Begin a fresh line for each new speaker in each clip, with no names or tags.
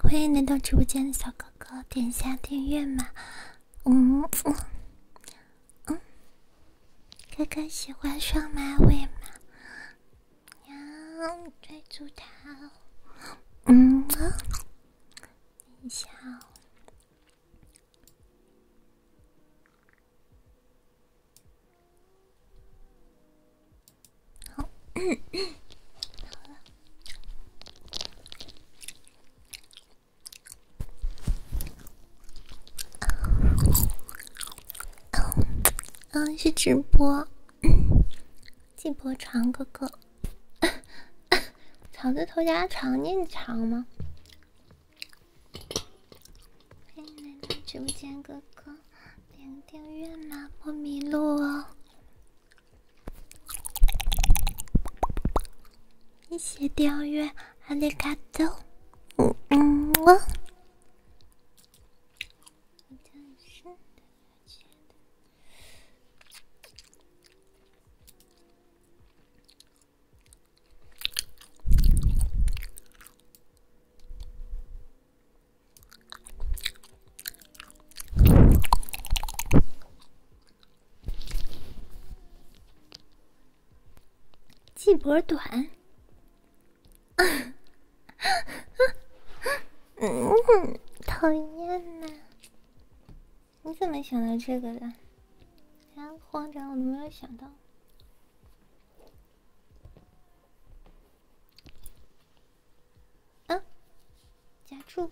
欢迎来到直播间的小哥哥，点一下订阅嘛。嗯，嗯，哥哥喜欢双马尾吗？要追住他。嗯，等一下。好，嗯，是直播，进播长哥哥，草字头加长念长吗？直播间哥哥，点订阅啦，不迷路哦。谢谢钓鱼，阿里卡多，嗯嗯，季脖短，讨厌呐！你怎么想到这个的？啊，慌张，我都没有想到。啊，加注。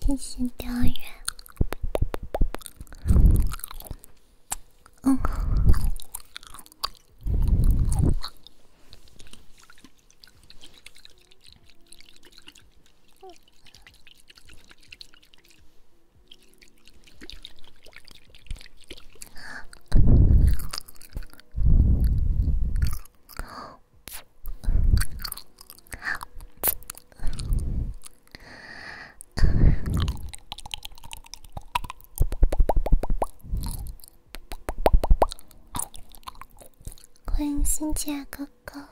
谢谢雕月。欢迎新杰哥哥，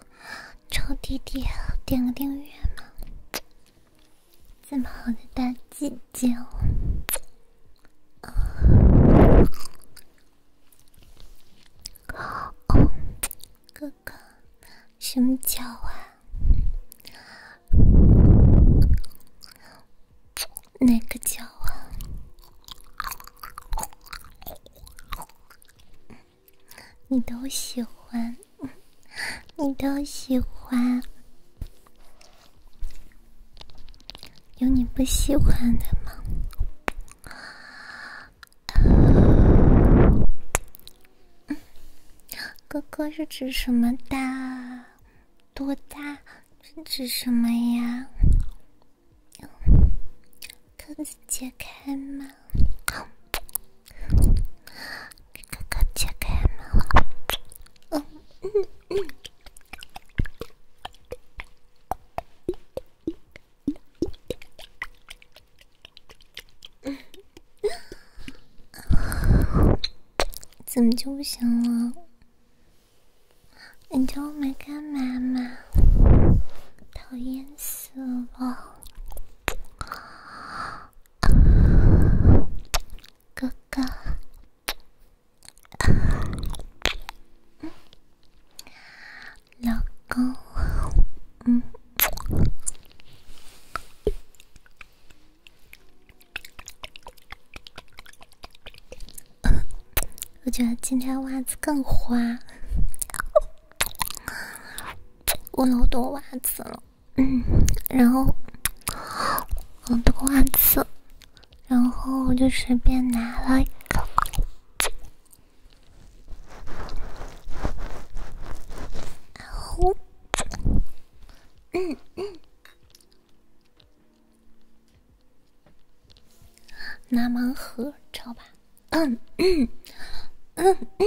臭弟弟，点个订阅嘛！这么好的大姐姐，啊，哥，哥。个什么脚啊？哪个脚啊？你都喜欢，你都喜欢，有你不喜欢的吗？哥哥是指什么的？多大？是指什么呀？哥哥解开吗？哥哥解开吗？怎么就不行了？你就没干嘛吗？讨厌死了，哥哥。老公，嗯，我觉得今天袜子更花，我老多袜子了，嗯，然后好多袜子，然后我就随便拿了一个。呼，嗯嗯，拿盲盒，知道吧？嗯嗯嗯嗯。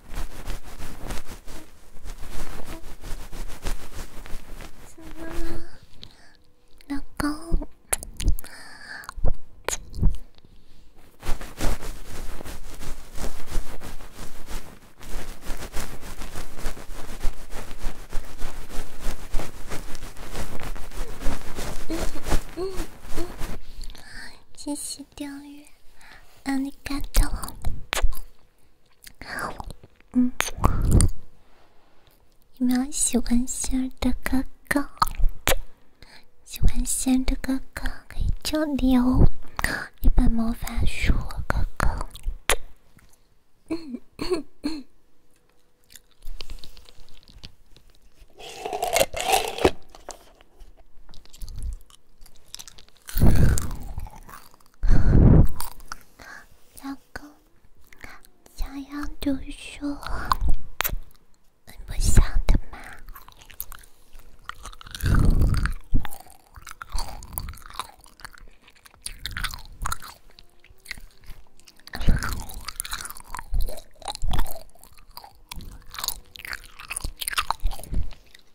老公，谢谢钓鱼，让你感动。嗯，有没有喜欢仙儿的哥哥？喜欢仙儿的哥哥可以你哦，一本魔法书，哥哥。老公想要读书，你不想的吗？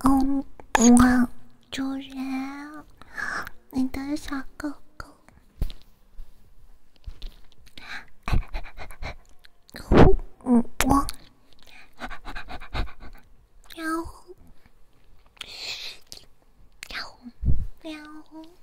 嗯哇，主人，你的小狗狗。嗯哇，喵，喵，喵。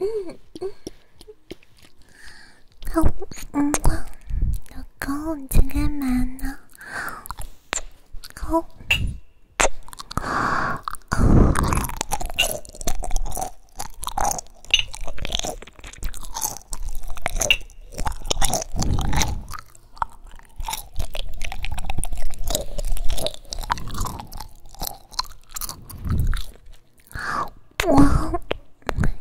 嗯嗯嗯，好，老公，老公你在干嘛呢？好，好，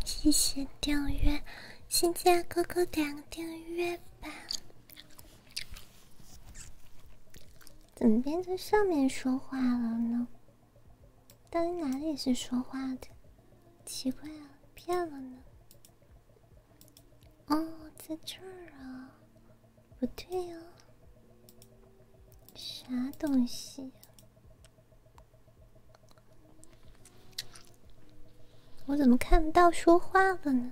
谢谢订阅，新进哥哥点个订阅吧。怎么变成上面说话了呢？到底哪里是说话的？奇怪啊，变了呢。哦，在这儿啊，不对呀，啥东西？我怎么看不到说话了呢？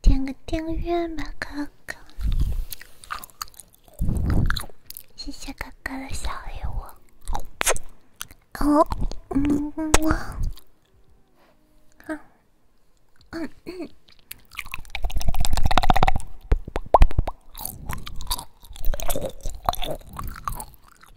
点个订阅吧，哥哥！谢谢哥哥的小礼物。哦，嗯，好，嗯嗯。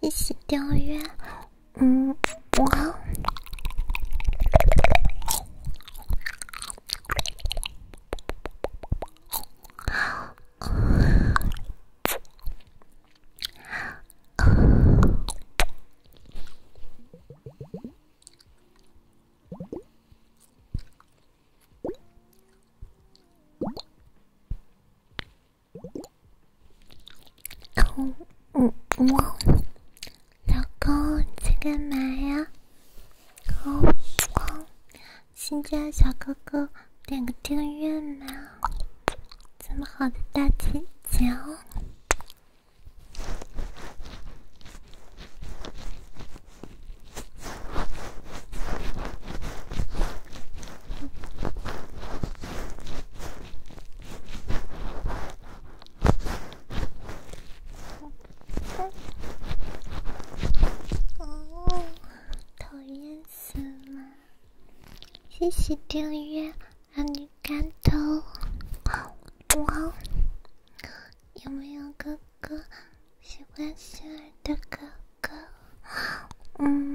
一起钓鱼，嗯，我。嗯嗯，哇，老公在干嘛呀？老公，新进来小哥哥，点个订阅呢。这么好的大姐姐哦，讨厌死了！谢谢订阅。让你肝头，有没有哥哥喜欢星儿的哥哥？嗯。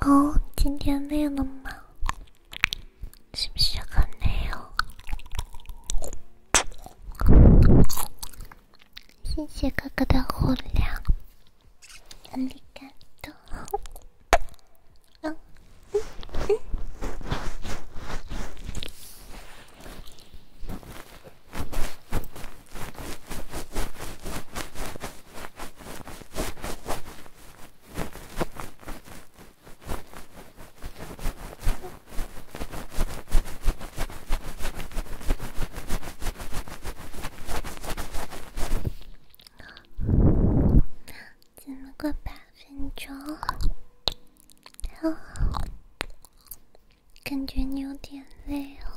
哦，今天累了吗？是不是很累哦？谢谢哥哥的火粮，怎么过八分钟？感觉你有点累哦。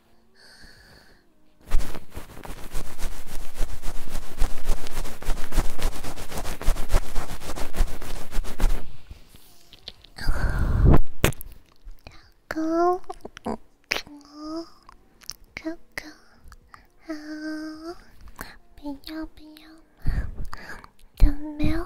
老公，我哥哥啊，不要不要，都没有。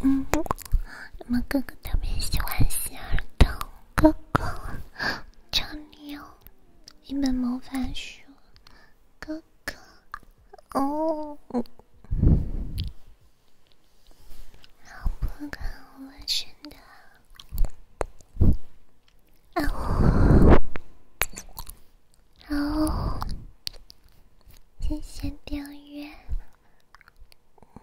嗯，我哥哥特别喜欢希尔顿。哥哥，这里有一本魔法书。哥哥，哦，好，不看我真的。哦，好，谢谢订阅。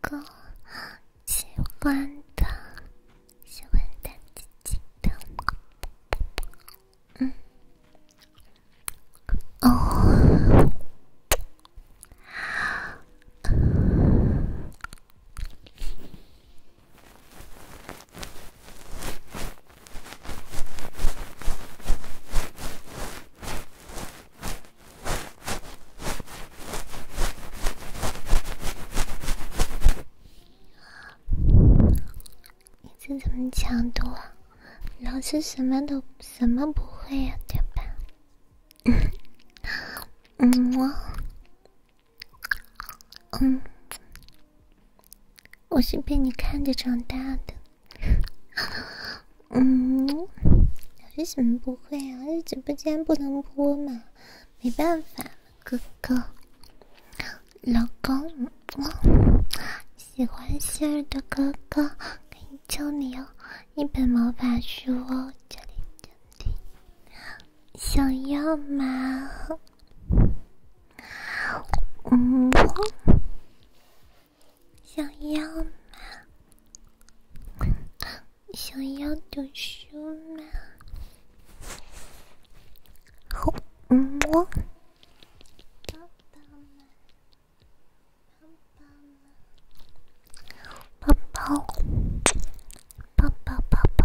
哥，喜欢的，喜欢的，记的，嗯，哦。你这怎么度啊？老师什么都什么不会呀，对吧？嗯，我，嗯，我是被你看着长大的。嗯，为什么不会啊？这直播间不能播嘛？没办法，哥哥，老公，喜欢心儿的哥哥可以教你哦，一本魔法书哦，这里这里，想要吗？嗯，想要吗？想要读书吗？好，嗯，啵，抱抱吗？抱抱抱抱抱抱，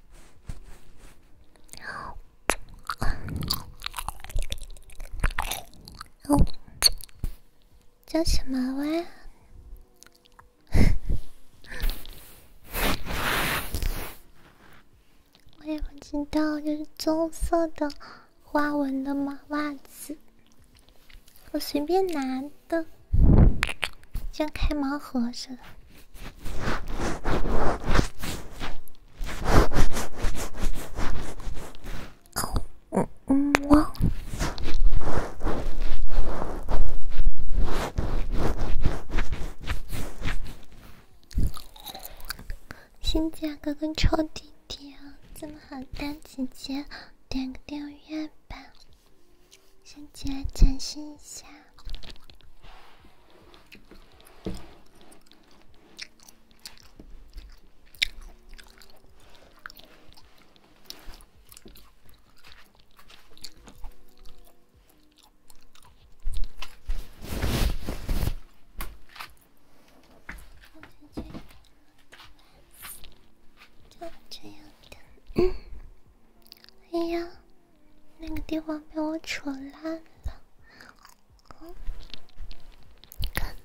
叫什么喂，我也不知道，就是棕色的花纹的马袜子，我随便拿。的，像开盲盒似的。嗯嗯，我新价格跟弟弟的，这么好，大姐姐点个订阅吧。先起来展示一下，就这样的，哎呀。那个地方被我扯烂了，高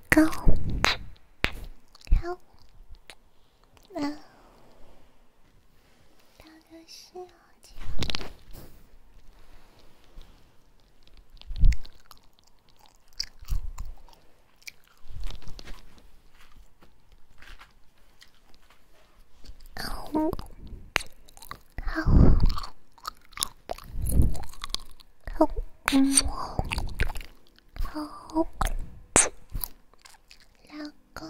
高好，那就是我。好，好，好，嗯，好，老公，嗯，老公。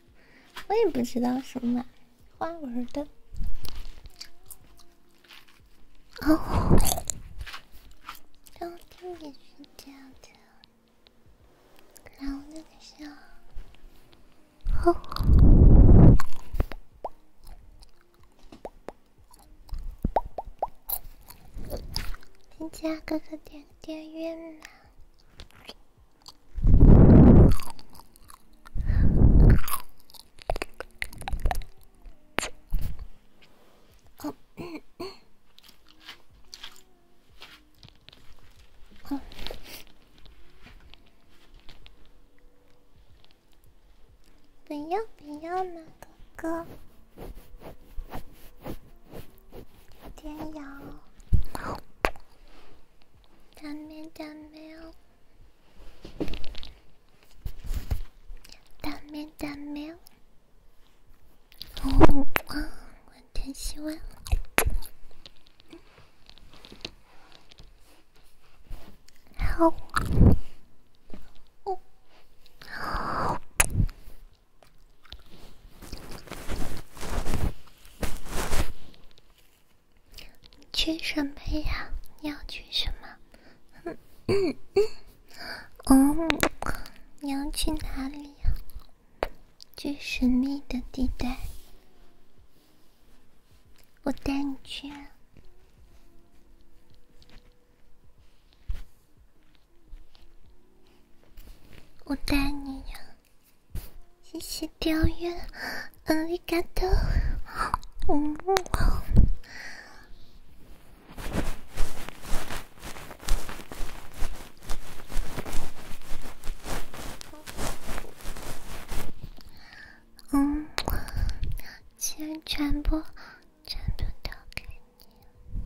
我也不知道什么花纹的。哦，中间也是这样的。然后那个笑，好，金家哥哥点点月呢？ああぷよぷよなここ。天呀！打咩打咩？打咩打咩？好，我真希望好。去什么呀？你要去什么？嗯嗯嗯。哦，你要去哪里呀？去神秘的地带。我带你去。啊。我带你呀。谢谢订阅，嗯，利卡多，嗯，钱全部，全部都给你。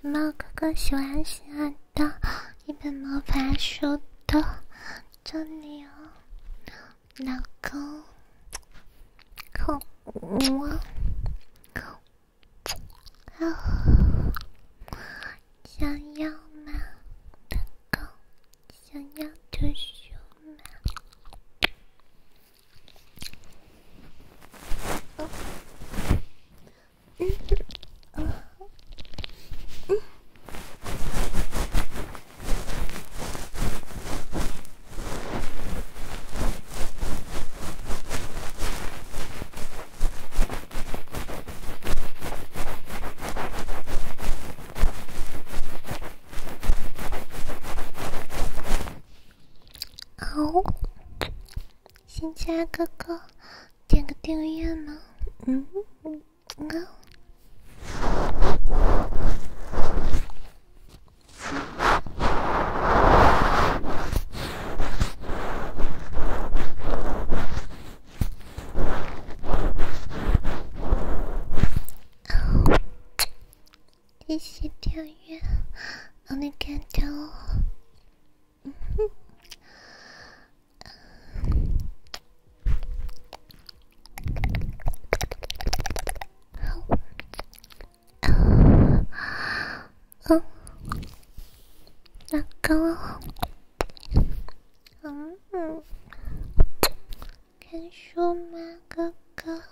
猫哥哥喜欢喜欢的一本魔法书的这里有老公，好，想要吗？老公，想要读书吗？嗯，嗯，好。新家哥哥，点个订阅吗？嗯嗯嗯。哦，谢谢订阅，我给你点。嗯哼，老公，嗯嗯，看书吗，哥哥？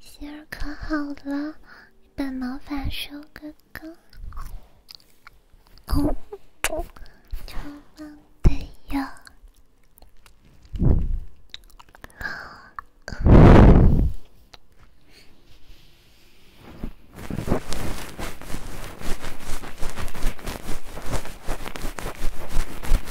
心儿可好了，你把毛发收个哥，哦，超棒的呀。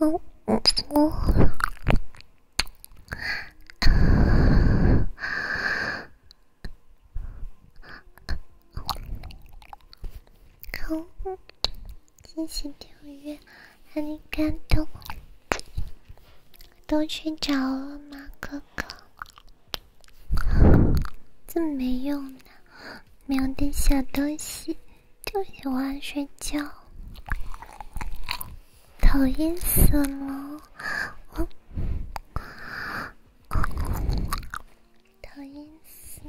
哦哦哦！看我惊喜跳跃，让你感动。都睡着了吗，哥哥？这么没用的，没有点小东西就喜欢睡觉，讨厌死了！讨厌死了！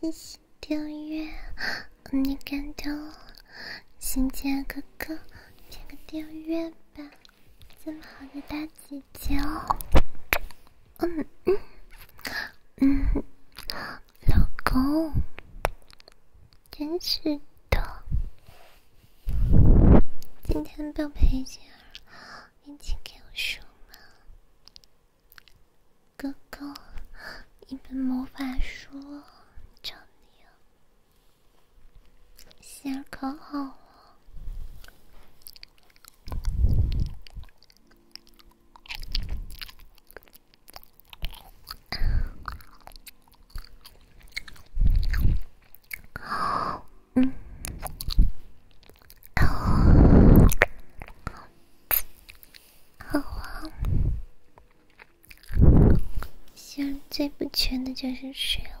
谢谢订阅，你感动，亲姐哥哥，点个订阅吧，这么好的大姐姐哦。嗯嗯老公，真是的，今天不陪心儿一起给我梳吗？哥哥，一本魔法书找你啊，心儿可好了。嗯，好啊。现像最不缺的就是水了。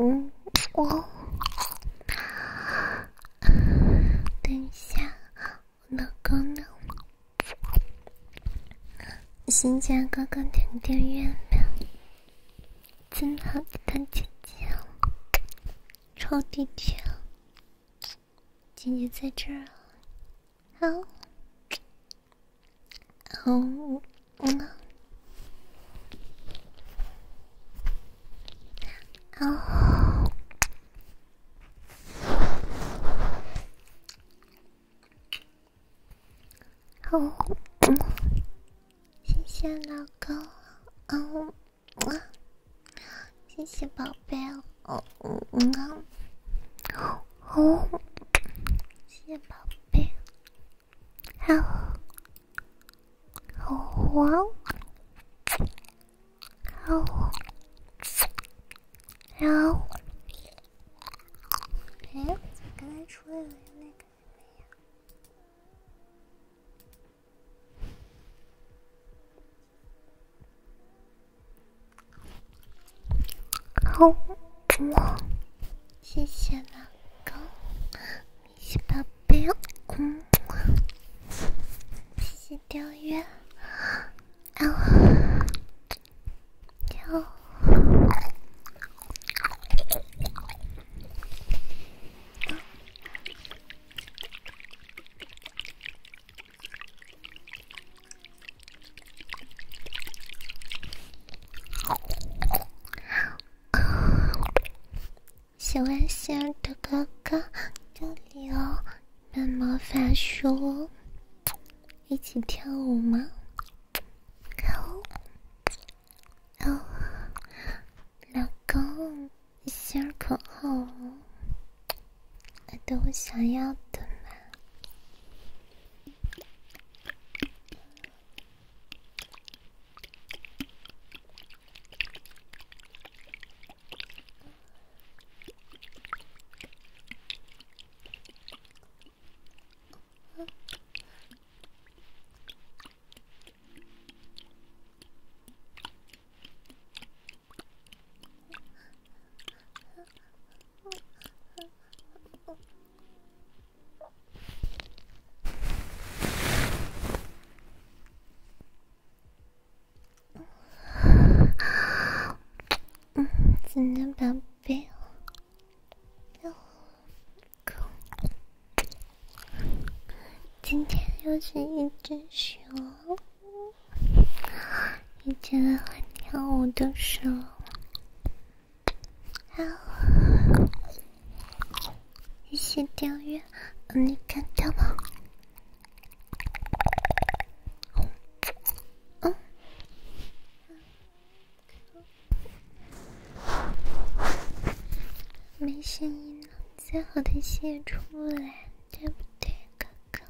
嗯嗯嗯，等一下，老公呢？新家哥哥点订月亮，真好的姐姐，超低调。姐姐在这儿，好，好，嗯，好，好，嗯，谢谢老公，嗯。哇，谢谢宝贝哦，嗯嗯啊，哦，谢谢宝贝，好，好哇，好，然哎，刚才说的那个什么好，谢谢老公，你是宝贝嗯，谢谢订阅，然就。喜欢儿的哥哥，这里有本魔法书，一起跳舞吗？好，老公。心儿可好，得到我想要的吗？今天又是一只熊。你以前会跳舞的时候，一些跳跃，你看到吗？没声音了，再好的泄也出不来，对不对，哥哥？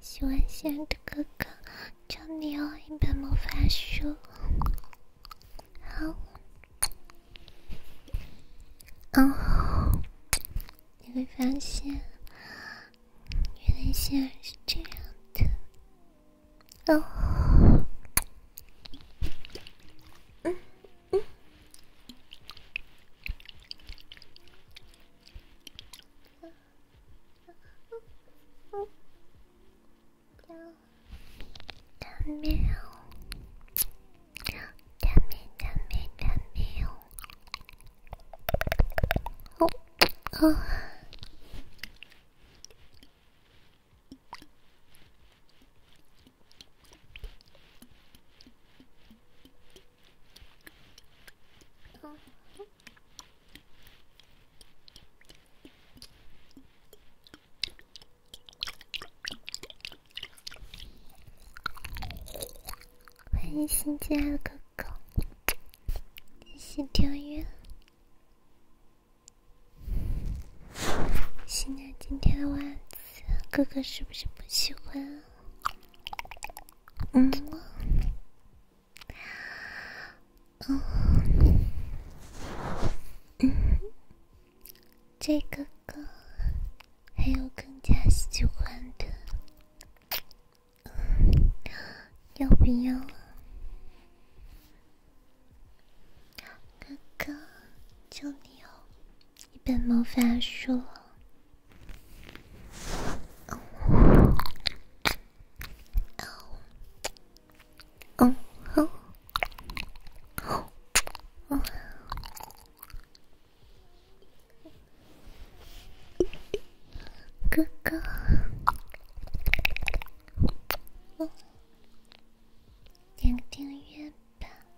喜欢仙儿的哥哥，教你哦一本魔法书。好，哦，你会发现，原来仙儿是这样的。哦，嗯。うんダメよダメダメダメよおあ欢迎新进来的哥哥，谢谢订阅。新娘今天的袜子，哥哥是不是不喜欢？嗯，哦，这个哥还有更加喜欢的，要不要？哥哥，就你哦，一本魔法书。哥哥，哦，点订阅吧。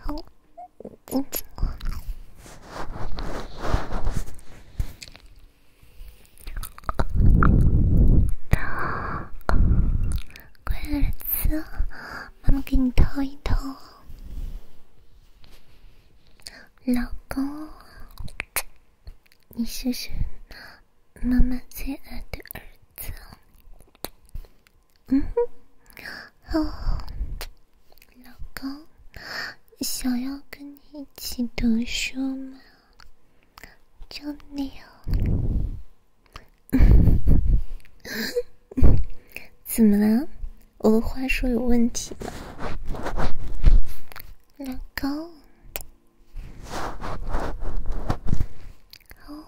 好，进去吧。老公，乖儿子，妈妈给你掏一掏。老公，你是妈妈最爱的儿子。嗯哼，哦，老公，想要跟你一起读书吗？就那样，怎么了？我的话说有问题吗？老公，哦。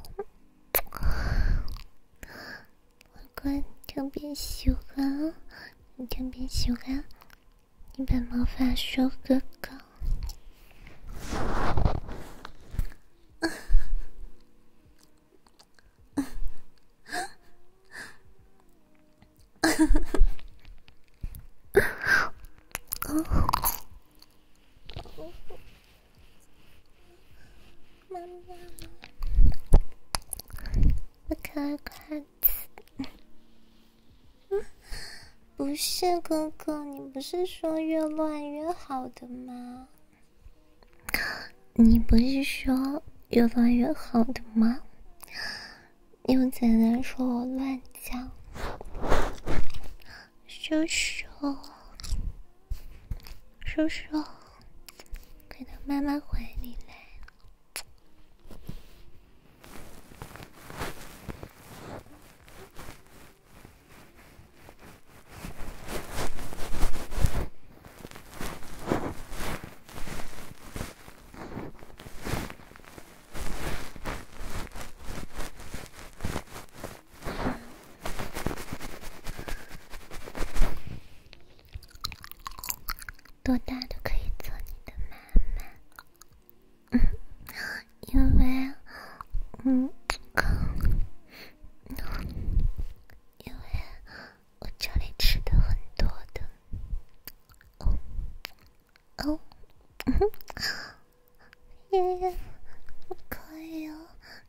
乖乖，特别喜欢，你特别喜欢，你把毛发梳个高。妈妈，我开快车。不是哥哥，你不是说越乱越好的吗？你不是说越乱越好的吗？又在那说我乱讲，叔叔，叔叔。快到妈妈怀里来。多大都可以做你的妈妈，因为，嗯，因为我这里吃的很多的，哦，哦，嗯 哼，爷爷，可以哦。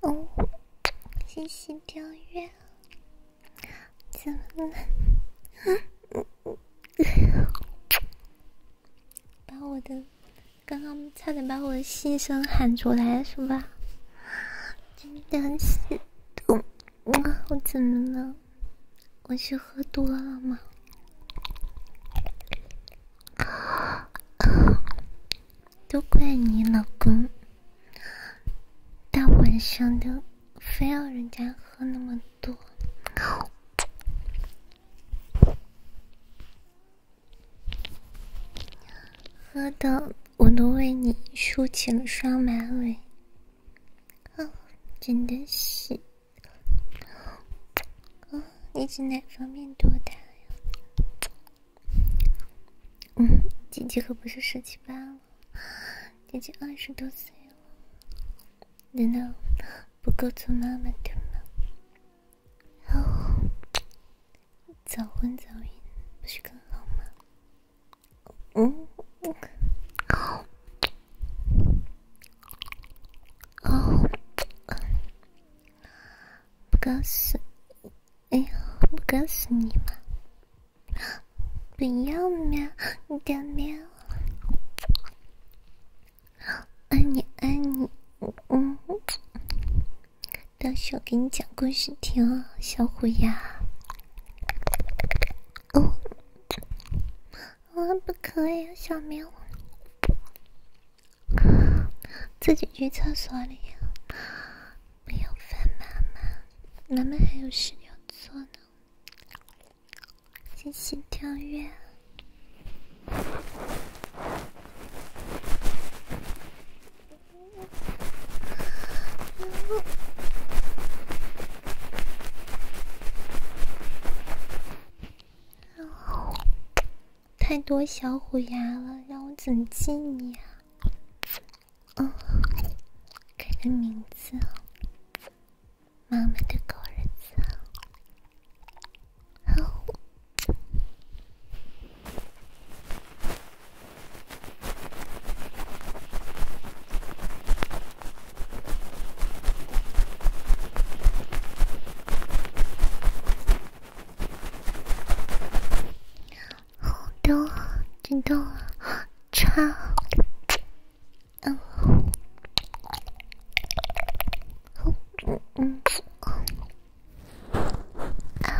哦，谢谢跳跃，怎么了？把我的，刚刚差点把我的心声喊出来，是吧？真的是痛。我怎么了？我是喝多了吗？都怪你老公，大晚上的非要人家喝那么多，喝的。我都为你梳起了双马尾，啊，真的是，啊，你几哪方面多大呀？嗯，姐姐可不是十七八了，姐姐二十多岁了，难道不够做妈妈的吗？哦，早婚早孕不是更好吗？嗯，哦，哦，不告诉，哎呀，不告诉你嘛，不要喵，你别喵，爱你爱你，嗯到时候给你讲故事听，哦，小虎牙。哦，我不可以，小明，自己去厕所里，不要烦妈妈，妈妈还有事要做呢，谢谢跳跃。太多小虎牙了，让我怎么记你啊？嗯，改个名字妈妈的狗儿子啊！好的，知道了，查，然后，嗯嗯，啊。